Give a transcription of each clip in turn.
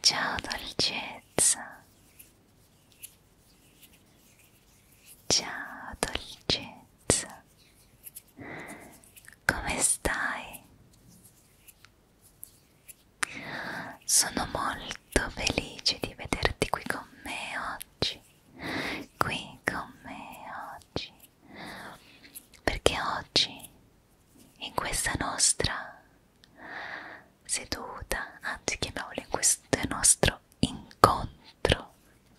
Ciao dolcezza. Ciao dolcezza. Come stai? Sono molto felice di vederti qui con me oggi, qui con me oggi, perché oggi in questa nostra seduta, anzi chiamiamolo in questo nostro incontro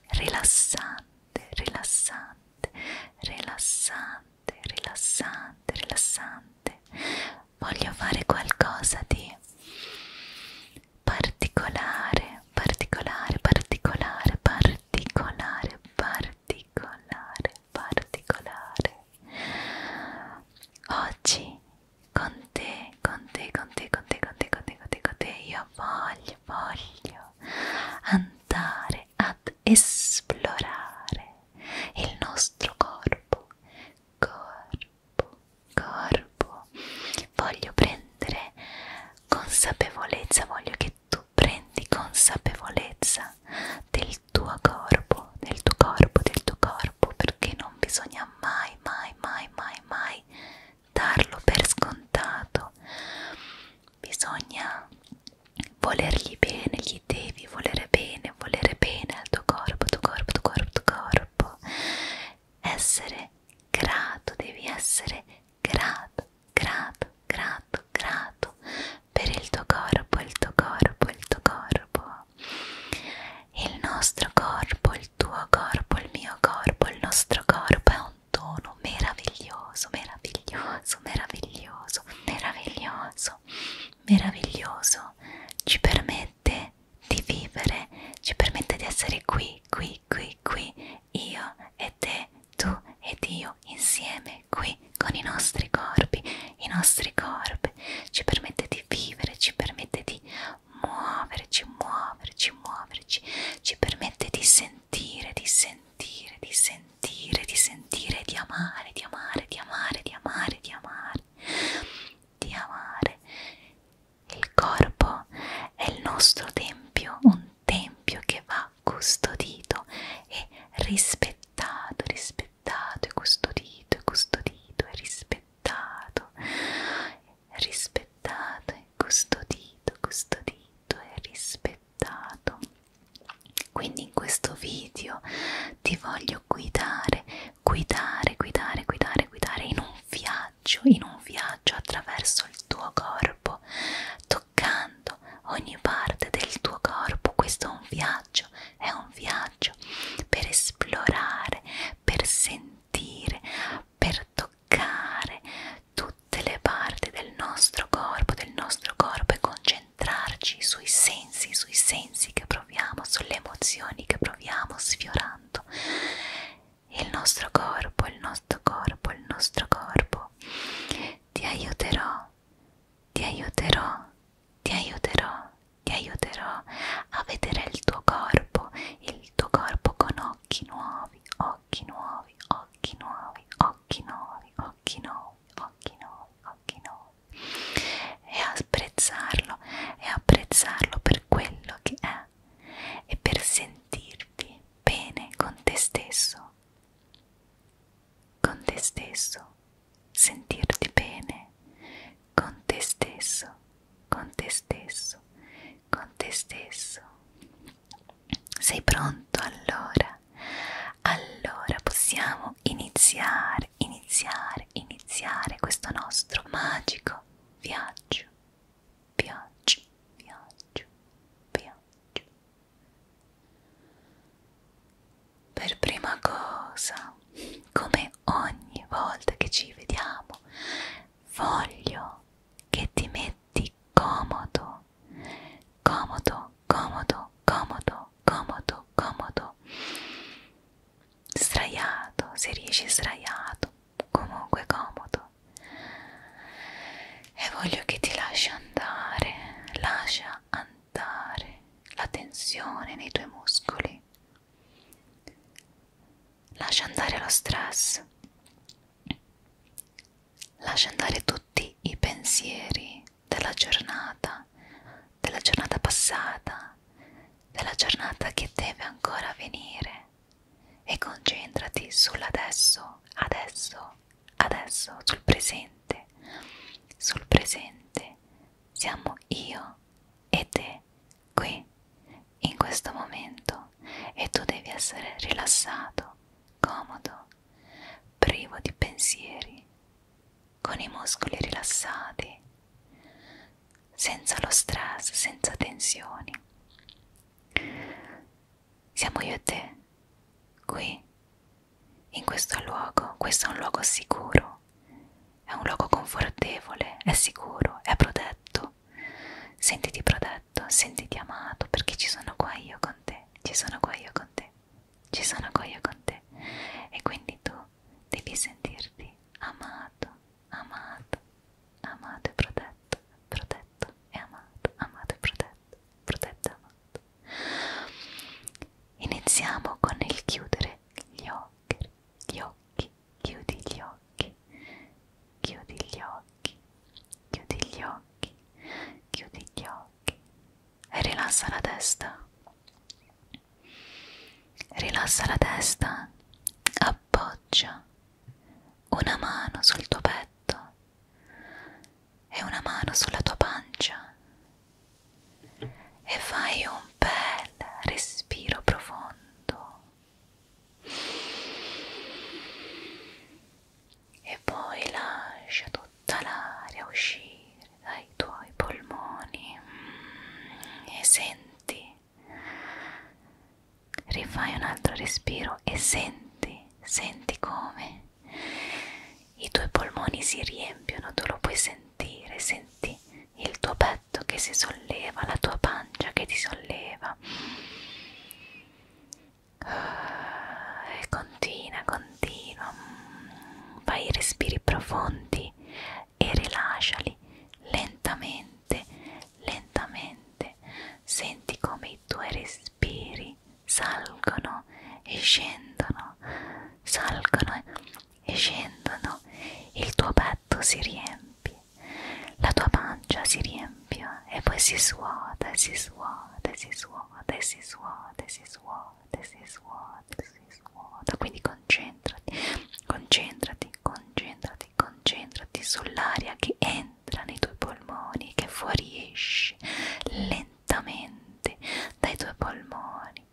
rilassante, rilassante, rilassante, rilassante, rilassante, voglio fare qualcosa di particolare, particolare, particolare, particolare, particolare, particolare. Oggi con te, con te, con te, con te, con te, con te, con te, con te, io voglio, voglio andare ad esplorare il nostro corpo, corpo, corpo. Voglio prendere consapevolezza, voglio che tu prendi consapevolezza del tuo corpo, del tuo corpo, del tuo corpo, perché non bisogna mai, mai, mai, mai, mai darlo per scontato. Bisogna volergli bene, gli devi volere bene, volere bene al tuo corpo, tuo corpo, tuo corpo, tuo corpo. Essere grato, devi essere grato, grato, grato, grato per il tuo corpo, il tuo corpo, il tuo corpo. Il nostro corpo, il tuo corpo, il mio corpo, il nostro corpo è un dono meraviglioso, meraviglioso, meraviglioso, meraviglioso meraviglioso, meraviglioso, ci permette di vivere, ci permette di essere qui, qui, qui, qui, io e te, tu ed io insieme qui con i nostri corpi, i nostri corpi, ci permette di vivere, ci permette di muoverci, muoverci, muoverci, ci permette di sentire, di sentire, di sentire, di sentire, di amare, di amare, di amare, di amare, di amare, di amare. Il corpo è il nostro tempio, un tempio che va custodito e rispettato, rispettato e custodito, e custodito e rispettato, rispettato e custodito, custodito e rispettato. Quindi in questo video ti voglio voglio guidare, guidare, guidare, guidare, guidare in un viaggio, in un viaggio attraverso il tuo corpo, toccando ogni parte del tuo corpo. Questo è un viaggio, è un viaggio per esplorare, per sentire, per toccare tutte le parti del nostro corpo, del nostro corpo e concentrarci concentrarci sui sensi, sui sensi che proviamo, sulle emozioni che proviamo sfiorando il nostro corpo, il nostro corpo, il nostro corpo. Ti aiuterò, ti aiuterò, ti aiuterò, ti aiuterò a vedere il tuo corpo, il tuo corpo con occhi nuovi, occhi nuovi, occhi nuovi, occhi nuovi, occhi nuovi, occhi nuovi, occhi nuovi e apprezzarlo e apprezzarlo per quello che è e per sentirti bene con te stesso con te stesso sentirti bene con te stesso con te stesso con te stesso sei pronto allora allora possiamo iniziare iniziare, iniziare, iniziare questo nostro magico viaggio, viaggio, viaggio, viaggio. Per prima cosa, come ogni volta che ci vediamo, voglio che ti metti comodo, comodo, comodo, comodo, comodo, comodo, sdraiato, se riesci sdraiato, comunque comodo. E voglio che ti lasci andare, lascia andare la tensione nei tuoi muscoli, lascia andare lo stress, lascia andare tutti i pensieri della giornata, della giornata passata, della giornata che deve ancora venire e concentrati sull'adesso, adesso, adesso, sul presente, sul presente siamo io e te qui in questo momento e tu devi essere rilassato, comodo, privo di pensieri, con i muscoli rilassati, senza lo stress, senza tensioni. Siamo io e te, qui, in questo luogo, questo è un luogo sicuro, è un luogo confortevole, è sicuro, è protetto. Sentiti protetto, sentiti amato, perché ci sono qua io con te, ci sono qua io con te ci sono qua io con te e quindi tu devi sentirti amato, amato, amato e protetto, protetto e amato, amato e protetto, protetto e amato. Iniziamo con il chiudere gli occhi, gli occhi, chiudi gli occhi, chiudi gli occhi, chiudi gli occhi, chiudi gli occhi e rilassa la testa. Rilassa la testa, appoggia una mano sul tuo petto e una mano sulla tua pancia e fai un bel respiro profondo e poi lascia tutto tutta l'aria uscire dai tuoi polmoni mm, e senti, rifai un altro respiro e senti, senti come i tuoi polmoni si riempiono, tu lo puoi sentire, senti il tuo petto che si solleva, la tua pancia che ti solleva ah, e continua, continua mm, fai respiri profondi pensieri e rilasciali lentamente, lentamente. Senti come i tuoi respiri salgono e scendono, salgono e scendono. Il tuo petto si riempie, la tua pancia si riempie e poi si suota, si suota, si suota, si suota, si suota this is what, this is what. Quindi concentrati, concentrati, concentrati, concentrati sull'aria che entra nei tuoi polmoni, che fuoriesce lentamente dai tuoi polmoni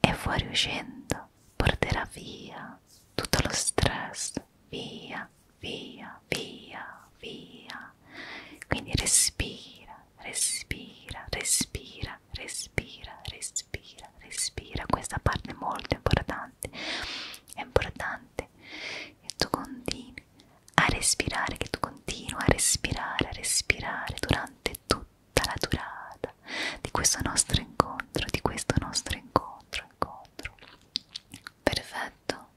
e fuoriuscendo porterà via tutto lo stress, via, via, via, via. Quindi respira, respira, respira, respira, respira, respira. Questa parte è molto importante. È importante che tu continui a respirare, che tu continui a respirare, a respirare durante tutta la durata di questo nostro incontro, di questo nostro incontro, incontro. Perfetto.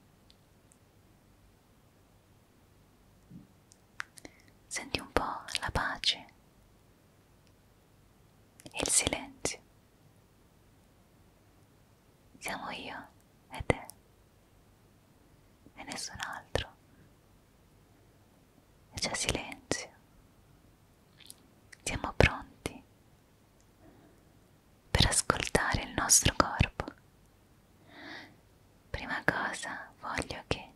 Senti un po' la pace e il silenzio. Siamo io e te e nessun altro. E c'è silenzio. Siamo pronti per ascoltare il nostro corpo prima cosa voglio che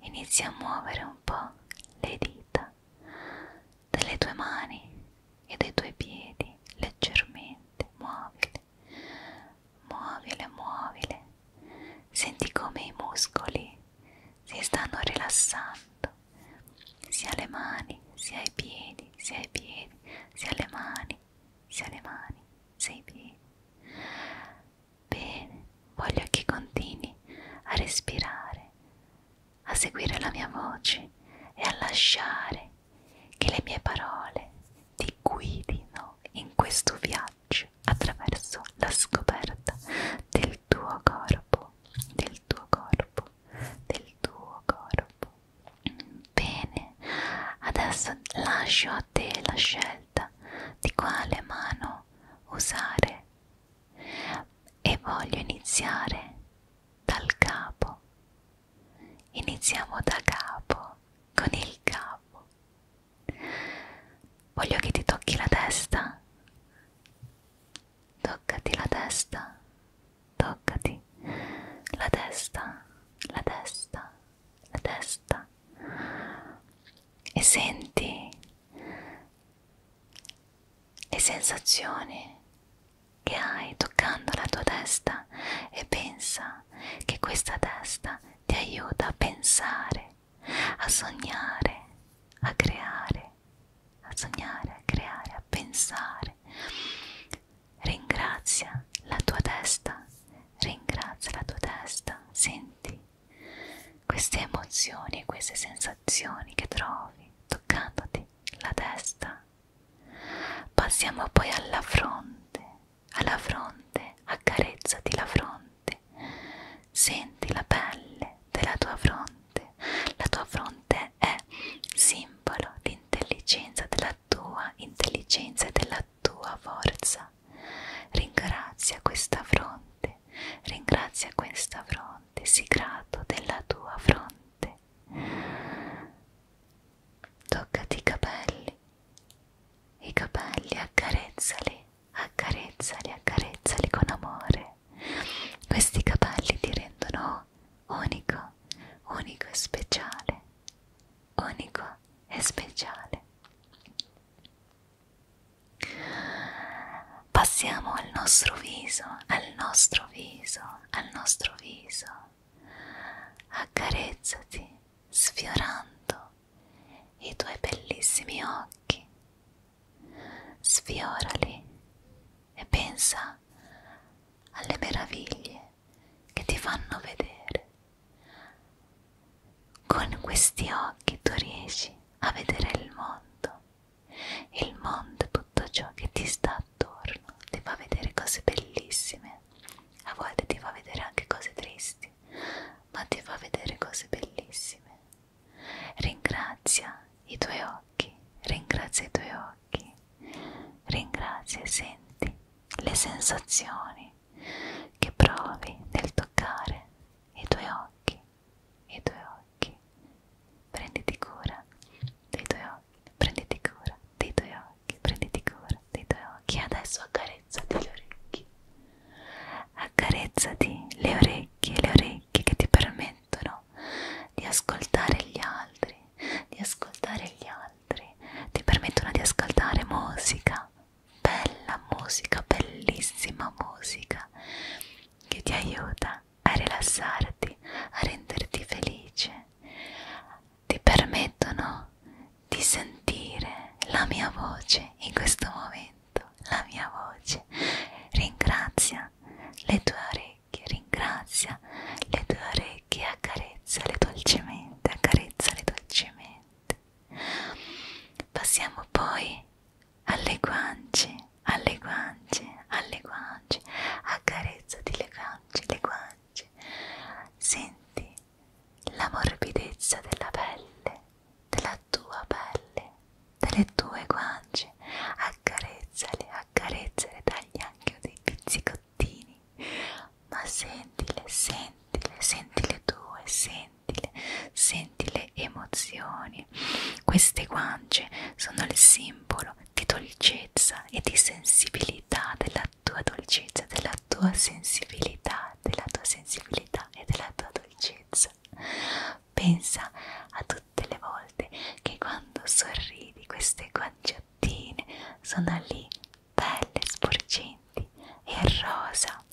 inizi a muovere un po' le dita delle tue mani e dei tuoi piedi leggermente, muovile, muovile, muovile, senti come i muscoli si stanno rilassando, sia le mani, sia i piedi, sia i piedi, sia le mani, sia le mani, sia i piedi. Bene, voglio che continui a respirare, a seguire la mia voce e a lasciare che le mie parole ti guidino in questo viaggio attraverso la scoperta del tuo corpo, del tuo corpo, del tuo corpo. Bene, adesso lascio a te la scelta di quale mano usare e voglio iniziare dal capo. Iniziamo da capo con il capo. Voglio che ti tocchi la testa. Toccati la testa. Toccati la testa. La testa. La testa e senti le sensazioni che hai toccando la tua testa e pensa che questa testa ti aiuta a pensare, a sognare, a creare, a sognare, a creare, a pensare. Ringrazia la tua testa, ringrazia la tua testa, senti queste emozioni, queste sensazioni che trovi toccandoti la testa. Passiamo poi alla fronte, alla fronte, accarezzati la fronte, senti la pelle della tua fronte, la tua fronte è simbolo di intelligenza, della tua intelligenza e della tua forza. Ringrazia questa fronte, ringrazia questa fronte, sii grato della tua fronte. Toccati i capelli, i capelli accarezzali, accarezzali, accarezzali con amore. Questi capelli ti rendono unico, unico e speciale, unico e speciale. Passiamo al nostro viso, al nostro viso, al nostro viso. Accarezzati sfiorando i tuoi bellissimi occhi. Sfiorali e pensa alle meraviglie che ti fanno vedere. Con questi occhi tu riesci a vedere il mondo, il mondo, tutto ciò che ti sta attorno, ti fa vedere cose bellissime, a volte ti fa vedere anche cose tristi, ma ti fa vedere cose bellissime. Ringrazia i tuoi occhi, ringrazia i tuoi occhi, ringrazia e senti le sensazioni che provi nel toccare i tuoi occhi, i tuoi occhi. Prenditi cura dei tuoi occhi, prenditi cura dei tuoi occhi, prenditi cura dei tuoi occhi. Adesso accarezzati le orecchie. Accarezzati le orecchie, le orecchie che ti permettono di ascoltare gli altri, di ascoltare gli altri, ti permettono di ascoltare musica, bella musica, bellissima musica che ti aiuta a rilassarti, a renderti felice. Ti permettono di sentire la mia voce in questo momento, la mia voce. Ringrazia le tue orecchie, ringrazia le tue orecchie, accarezzale dolcemente, accarezzale dolcemente. Passiamo poi alle guance, alle guance, alle guance, accarezzati le guance, le guance, senti la morbidezza della pelle, della tua pelle, delle tue guance, accarezzale, accarezzale, tagli anche dei pizzicottini, ma sentile, sentile, sentile tue, sentile sentile, senti le emozioni. Queste guance sono il simbolo di dolcezza e di sensibilità, della tua dolcezza, della tua sensibilità, della tua sensibilità e della tua dolcezza. Pensa a tutte le volte che quando sorridi queste guanciottine sono lì, belle, sporgenti e rosa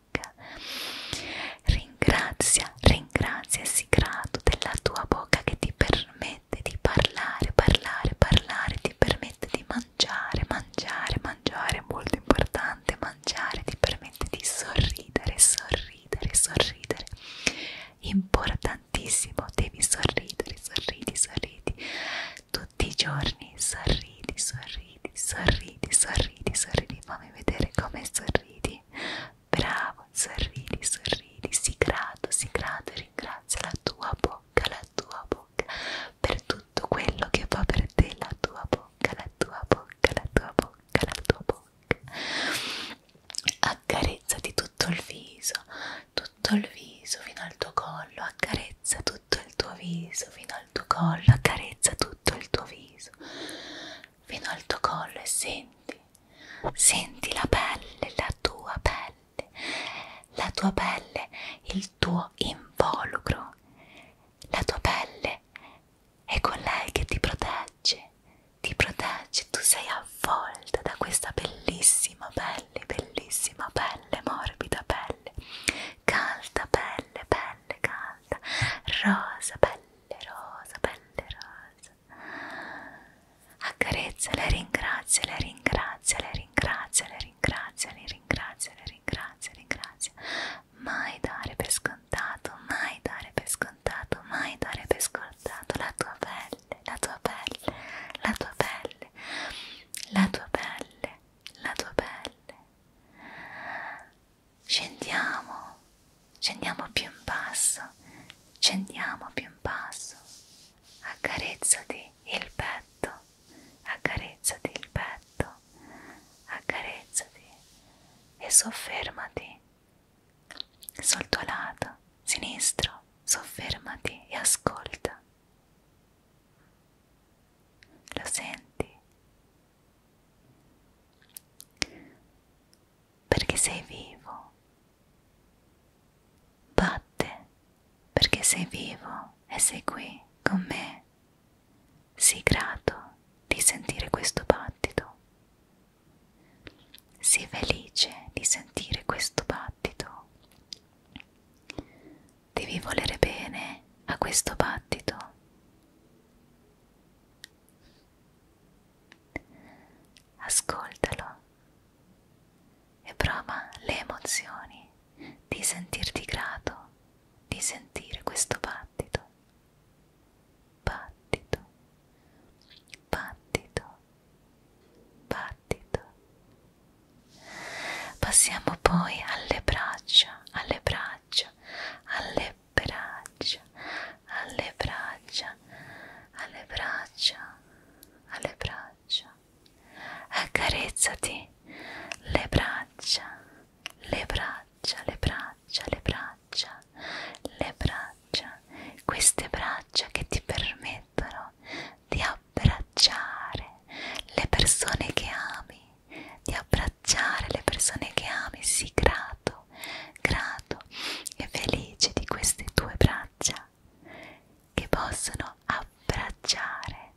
bocca. Ringrazia, ringrazia e sii grato della tua bocca che ti permette di parlare, parlare, parlare, ti permette di mangiare, mangiare, mangiare, è molto importante mangiare, ti permette di sorridere, sorridere, sorridere. Importantissimo, devi sorridere, sorridi, sorridi. Tutti i giorni sorridi, sorridi sorridi, sorridi, sorridi, sorridi, fammi vedere come sorridi. Bravo, sorridi, sorridi, si grato, si grato, ringrazia la tua bocca, la tua bocca per tutto quello che fa per te la tua bocca, la tua bocca, la tua bocca, la tua bocca. Accarezzati tutto il viso, tutto il viso fino al tuo collo, accarezza tutto tutto il tuo viso fino al tuo collo, accarezza tutto il tuo viso fino al tuo collo e senti, senti la pelle, la tua pelle, la tua pelle, il tuo involucro, la tua pelle è con lei che ti protegge, ti protegge, tu sei avvolta da questa bellissima pelle, bellissima pelle, morbida pelle, calda pelle, pelle calda alta rosa, pelle rosa, pelle rosa accarezza, la ringrazia, la ringrazia, la ringrazia, la ringrazia, la ringrazia, la ringrazia, la ringrazia mai dare per scontato, mai dare per scontato, mai dare per scontato la tua pelle, la tua pelle, la tua pelle, la tua pelle, la tua pelle scendiamo scendiamo più in basso scendiamo più in basso accarezzati il petto accarezzati il petto accarezzati e soffermati sul tuo lato sinistro soffermati e ascolta lo senti perché sei vivo. Batte perché sei vivo e sei qui con me. Sii grato di sentire questo battito. Sii felice di sentire questo battito devi volere bene a questo battito. Ascoltalo e prova le emozioni di sentirti grato, di sentire questo battito. Battito, battito, battito. Passiamo poi alle braccia, alle braccia braccia, alle braccia, alle braccia, alle braccia, alle braccia. Accarezzati le braccia, le braccia, le braccia, le braccia, le braccia, queste braccia che ti permettono di abbracciare le persone che ami, di abbracciare le persone che ami, sii grato, grato e felice di queste tue braccia che possono abbracciare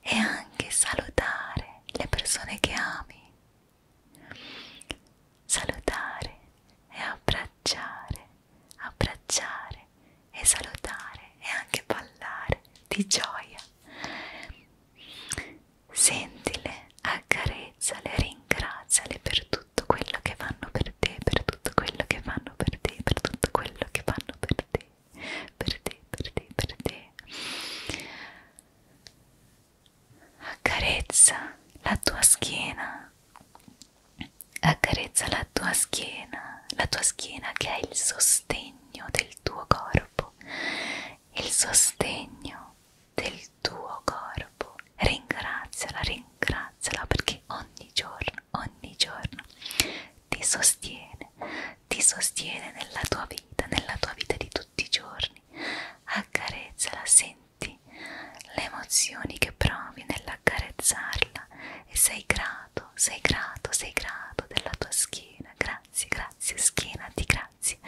e anche salutare le persone che ami, salutare e abbracciare, abbracciare e salutare e anche ballare di gioia Sentile, accarezzale, ringraziale per tutto quello che fanno per te, per tutto quello che fanno per te, per tutto quello che fanno per te, per te, per te, per te. Accarezza la tua schiena, accarezza la tua schiena, la tua schiena che è il sostegno del tuo corpo il sostegno del tuo corpo. Ringraziala, ringraziala perché ogni giorno, ogni giorno ti sostiene, ti sostiene nella tua vita, nella tua vita di tutti i giorni. Accarezzala, senti le emozioni che provi nell'accarezzarla e sei grato, sei grato, sei grato della tua schiena. Grazie grazie, grazie, schiena, ti grazie,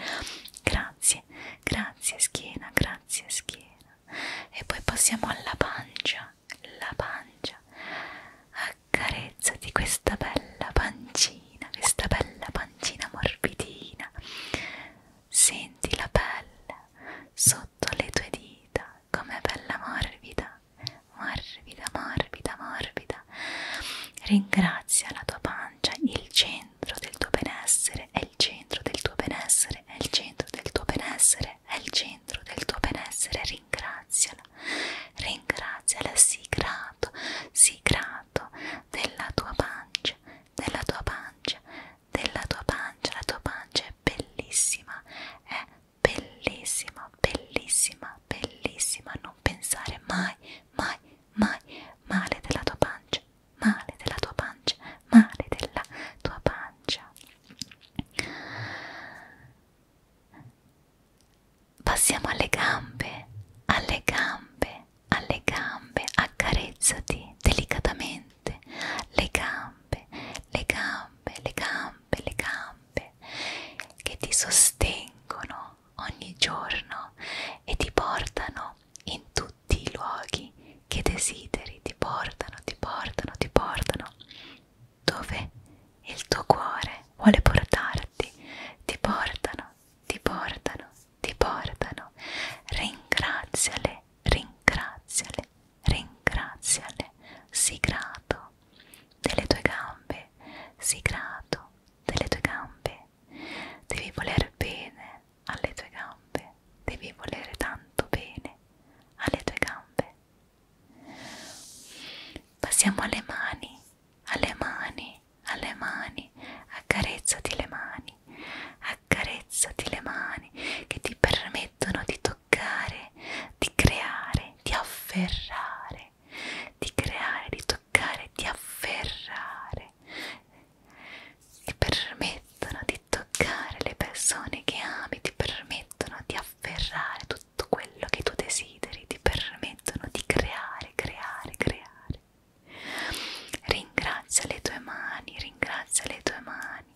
grazie, grazie, schiena, grazie, schiena. E poi passiamo alla pancia, la pancia. Accarezzati questa bella pancina, questa bella pancina morbidina. Senti la pelle sotto le tue dita, com'è bella morbida, morbida morbida, morbida, morbida. Ringrazia la tua pancia, il centro del tuo benessere, è il centro del tuo benessere, è il centro del tuo benessere, è il centro del tuo benessere. Ringraziala, ringraziala, sii grato, sii grato della tua pancia, della tua pancia, della tua pancia. La tua pancia è bellissima, è bellissima, bellissima, bellissima. Non pensare mai, mai mai male della tua pancia, male della tua pancia, male della tua pancia. Passiamo alle gambe, alle gambe, alle gambe, accarezzati delicatamente le gambe, le gambe, le gambe, le gambe che ti sostengono ogni giorno e ti portano in tutti i luoghi che desideri, ti portano, ti portano, ti portano dove il tuo cuore vuole portarti, ti portano, ti portano, ti portano. Ringraziale, ringraziale, ringraziale, sii grato delle tue gambe, sii grato delle tue gambe, devi voler bene alle tue gambe, devi volere tanto bene alle tue gambe. Passiamo alle mani, alle mani, alle mani, accarezzati le mani, accarezzati le mani che ti permettono di toccare, di creare, di afferrare di creare, di toccare, di afferrare ti permettono di toccare le persone che ami, ti permettono di afferrare tutto quello che tu desideri, ti permettono di creare, creare, creare. Ringrazia le tue mani, ringrazia le tue mani,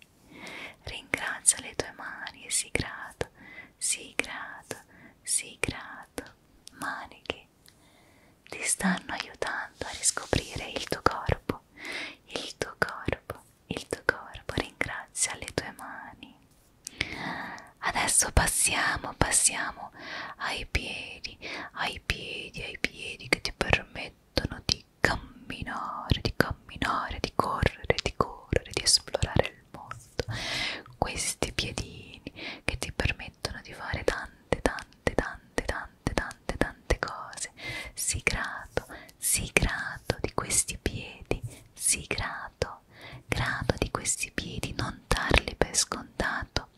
ringrazia le tue mani e sii grato, sii grato, sii grato. Maniche, ti stanno aiutando a riscoprire il tuo corpo, il tuo corpo, il tuo corpo. Ringrazia le tue mani. Adesso passiamo, passiamo ai piedi, ai piedi, ai piedi che ti permettono di camminare, di camminare, di correre, di correre, di esplorare il mondo fatto questi piedini che ti permettono di fare tante tante tante tante tante tante cose sii grato sii grato di questi piedi sii grato grato di questi piedi non darli per scontato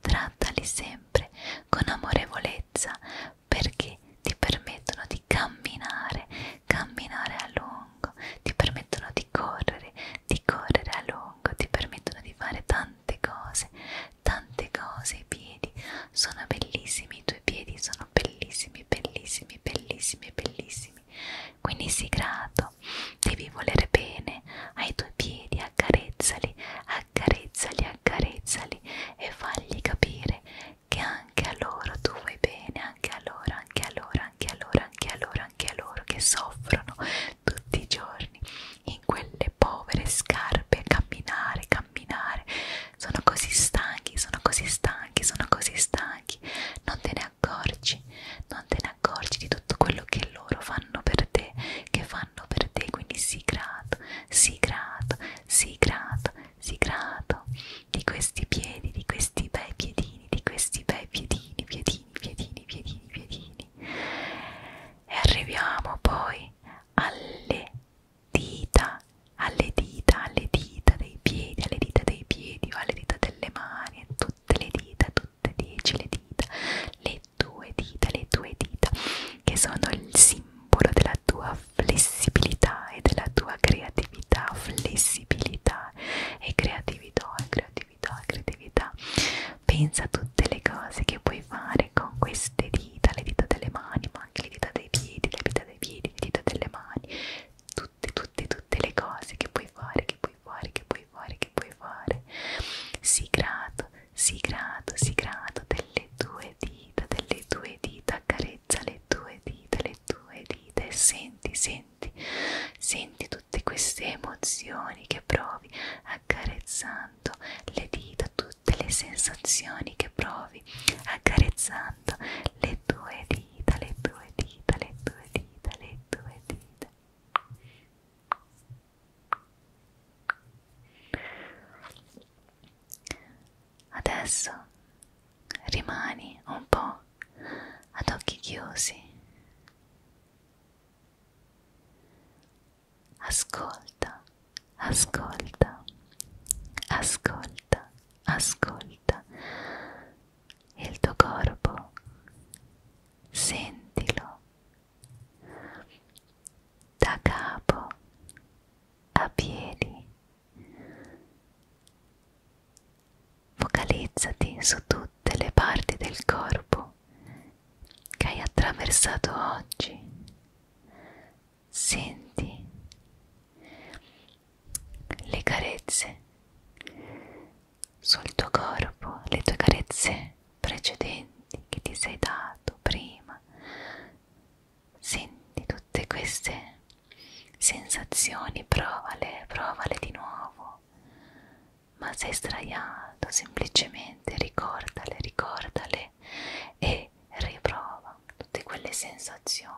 trattali sempre con amorevolezza perché ti permettono di camminare camminare a lungo ti permettono di correre di correre a lungo, ti permettono di fare tante cose, tante cose i piedi, sono bellissimi, i tuoi piedi sono bellissimi, bellissimi, bellissimi, bellissimi. Quindi sii grato, devi voler bene ai tuoi piedi, accarezzali, accarezzali, accarezzali e fagli capire che anche a loro tu vuoi bene, anche a loro, anche a loro, anche a loro, anche a loro, anche a loro che soffrono, tutti i giorni in quelle povere scarpe camminare, camminare sono così stanchi, sono così stanchi, sono così stanchi non te ne accorgi, non te ne accorgi di tutto quello che loro fanno per te che fanno per te, quindi sii grato sii grato, sii grato sii grato di questi piedi, di questi bei piedini di questi bei piedini, piedini, piedini, piedini, piedini e arriviamo poi alle dita alle dita alle dita dei piedi alle dita dei piedi o alle dita delle mani tutte le dita tutte dieci le dita le due dita le due dita che sono il simbolo della tua flessibilità e della tua creatività flessibilità e creatività e creatività creatività, creatività. Pensa a tutte le cose che puoi fare con queste dita, le dita delle mani, ma anche le dita dei piedi, le dita dei piedi, le dita delle mani. Tutte, tutte, tutte le cose che puoi fare, che puoi fare, che puoi fare, che puoi fare. Sii grato, sii grato, sii grato delle tue dita, delle tue dita, accarezza le tue dita, le tue dita e senti, senti, senti tutte queste emozioni che provi, accarezzando le dita, tutte le sensazioni che provi, accarezzando le tue dita, le tue dita, le tue dita, le tue dita. Adesso rimani un po' ad occhi chiusi Ascolta, ascolta, ascolta, ascolta il tuo corpo, sentilo da capo a piedi Focalizzati su tutte le parti del corpo che hai attraversato oggi. Senti le carezze sul tuo corpo, le tue carezze precedenti che ti sei dato prima. Senti tutte queste sensazioni, provale, provale di nuovo ma sei sdraiato, semplicemente ricordale, ricordale e riprova tutte quelle sensazioni.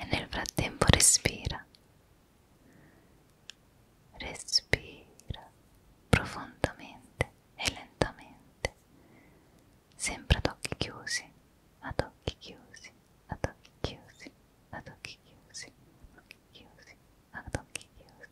E nel frattempo respira, respira profondamente e lentamente sempre ad occhi chiusi, ad occhi chiusi, ad occhi chiusi, ad occhi chiusi, ad occhi chiusi, ad occhi chiusi.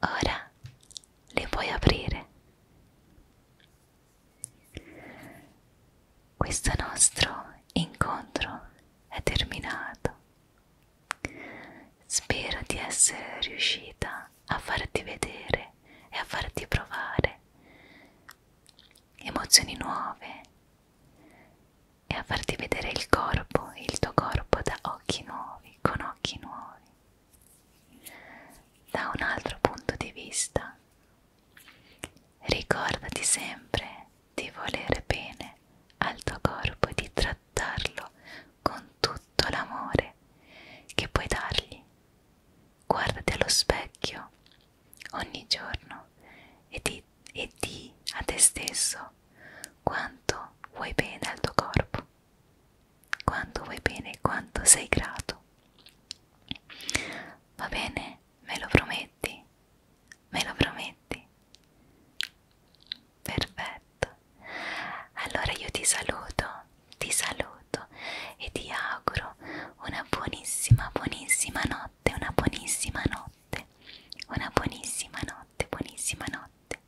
Ora li puoi aprire questo nostro incontro è terminato. Spero di essere riuscita a farti vedere e a farti provare emozioni nuove e a farti vedere il corpo, il tuo corpo da occhi nuovi, con occhi nuovi, da un altro punto di vista, Ricordati sempre di volere bene al tuo corpo e di trattarlo con tutto l'amore che puoi dargli. Guardati allo specchio ogni giorno e di, e di a te stesso quanto vuoi bene al tuo corpo, quanto vuoi bene e quanto sei grato tutto. Va bene? Me lo prometti? Me lo prometti? Perfetto. Allora io ti saluto, ti saluto e ti auguro una buonissima, buonissima notte, una buonissima notte, una buonissima notte, buonissima notte.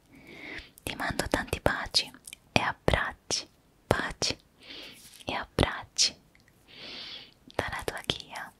Ti mando tanti baci e abbracci Pati e a Prati tá na tua guia.